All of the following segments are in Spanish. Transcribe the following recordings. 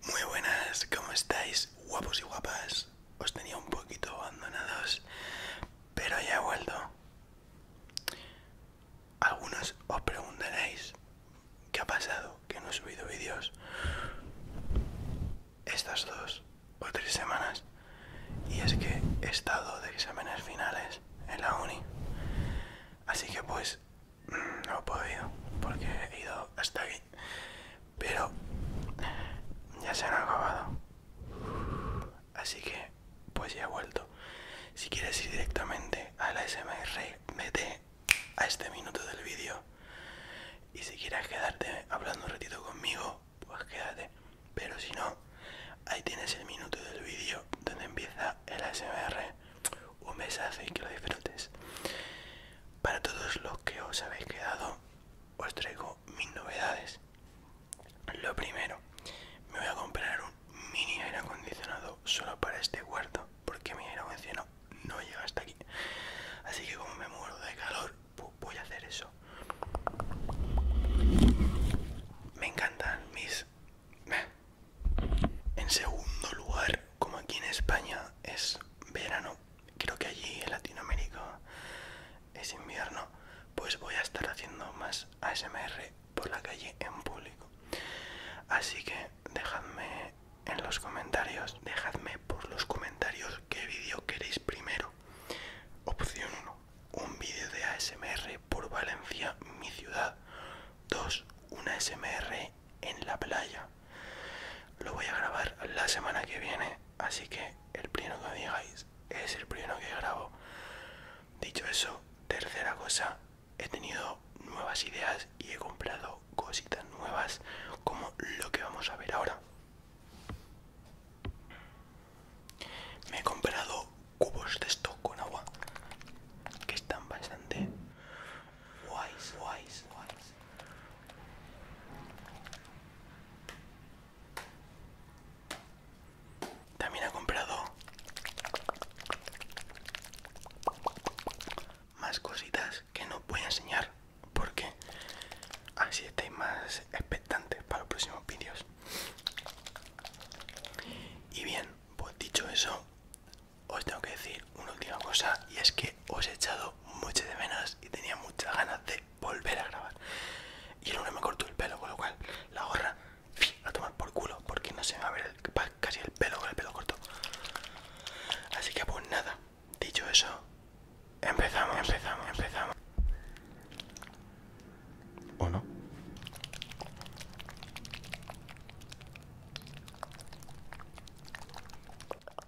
Muy buenas, ¿cómo estáis? Guapos y guapas. Os tenía un poquito abandonados, pero ya he vuelto. Algunos os preguntaréis qué ha pasado, que no he subido vídeos estas dos o tres semanas. Y es que he estado de exámenes finales en la uni. Así que pues no he podido porque he ido hasta aquí pero ya se han acabado así que pues ya he vuelto si quieres ir directamente a la smr vete a este minuto del vídeo y si quieres quedarte hablando un ratito conmigo pues quédate pero si no ahí tienes el minuto del vídeo donde empieza el SMR. un besazo y que lo disfrutes para todos los que os habéis quedado, os traigo mis novedades. Lo primero, me voy a comprar un mini aire acondicionado solo para este cuarto porque mi aire acondicionado no llega hasta aquí. Así que como me muero de calor, pues voy a hacer eso. Me encantan mis... En segundo lugar, como aquí en España es verano, creo que allí en Latinoamérica es invierno, pues voy a estar haciendo más ASMR por la calle en público. Así que dejadme en los comentarios, dejadme por los comentarios qué vídeo queréis primero. Opción 1, un vídeo de ASMR por Valencia, mi ciudad. 2, una ASMR en la playa. Lo voy a grabar la semana que viene, así que el primero que me digáis es el primero que grabo. Dicho eso, tercera cosa, he tenido nuevas ideas y he comprado cositas nuevas como lo que vamos a ver ahora. Me he comprado cubos de esto con agua que están bastante Wise, wise, wise. También ha comprado más cositas que no voy a enseñar porque así estáis más expectantes para los próximos vídeos. Y bien, pues dicho eso, os tengo que decir una última cosa y es que os he echado muchas de menos y tenía muchas ganas de volver a grabar. Y el lunes me cortó el pelo, con lo cual la gorra a tomar por culo porque no se va a ver casi el pelo con el pelo corto. Así que pues nada, dicho eso, empezamos, empezamos, empezamos. ¿O no?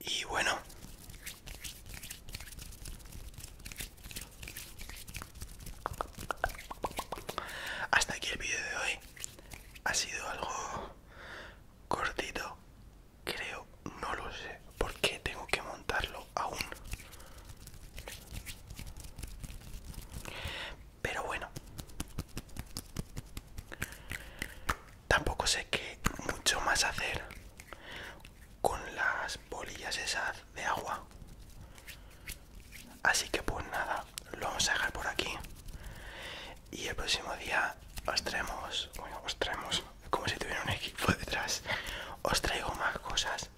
Y bueno. Hasta aquí el vídeo de hoy. Ha sido algo cortito. Creo, no lo sé, porque tengo que montarlo aún. Pero bueno. Tampoco sé qué mucho más hacer con las bolillas esas de agua así que pues nada lo vamos a dejar por aquí y el próximo día os traemos bueno os traemos como si tuviera un equipo detrás os traigo más cosas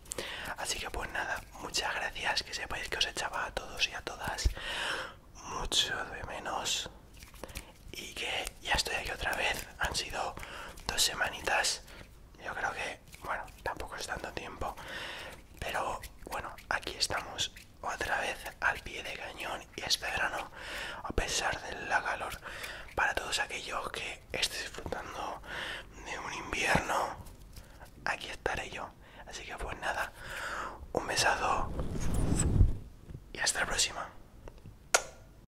así que pues nada muchas gracias que sepáis que os echaba a todos y a todas mucho de menos y que ya estoy aquí otra vez. Han sido dos semanitas. Yo creo que, bueno, tampoco es tanto tiempo. Pero bueno, aquí estamos otra vez al pie de cañón y este verano, a pesar de la calor, para todos aquellos que estén disfrutando de un invierno, aquí estaré yo. Así que pues nada, un besado y hasta la próxima.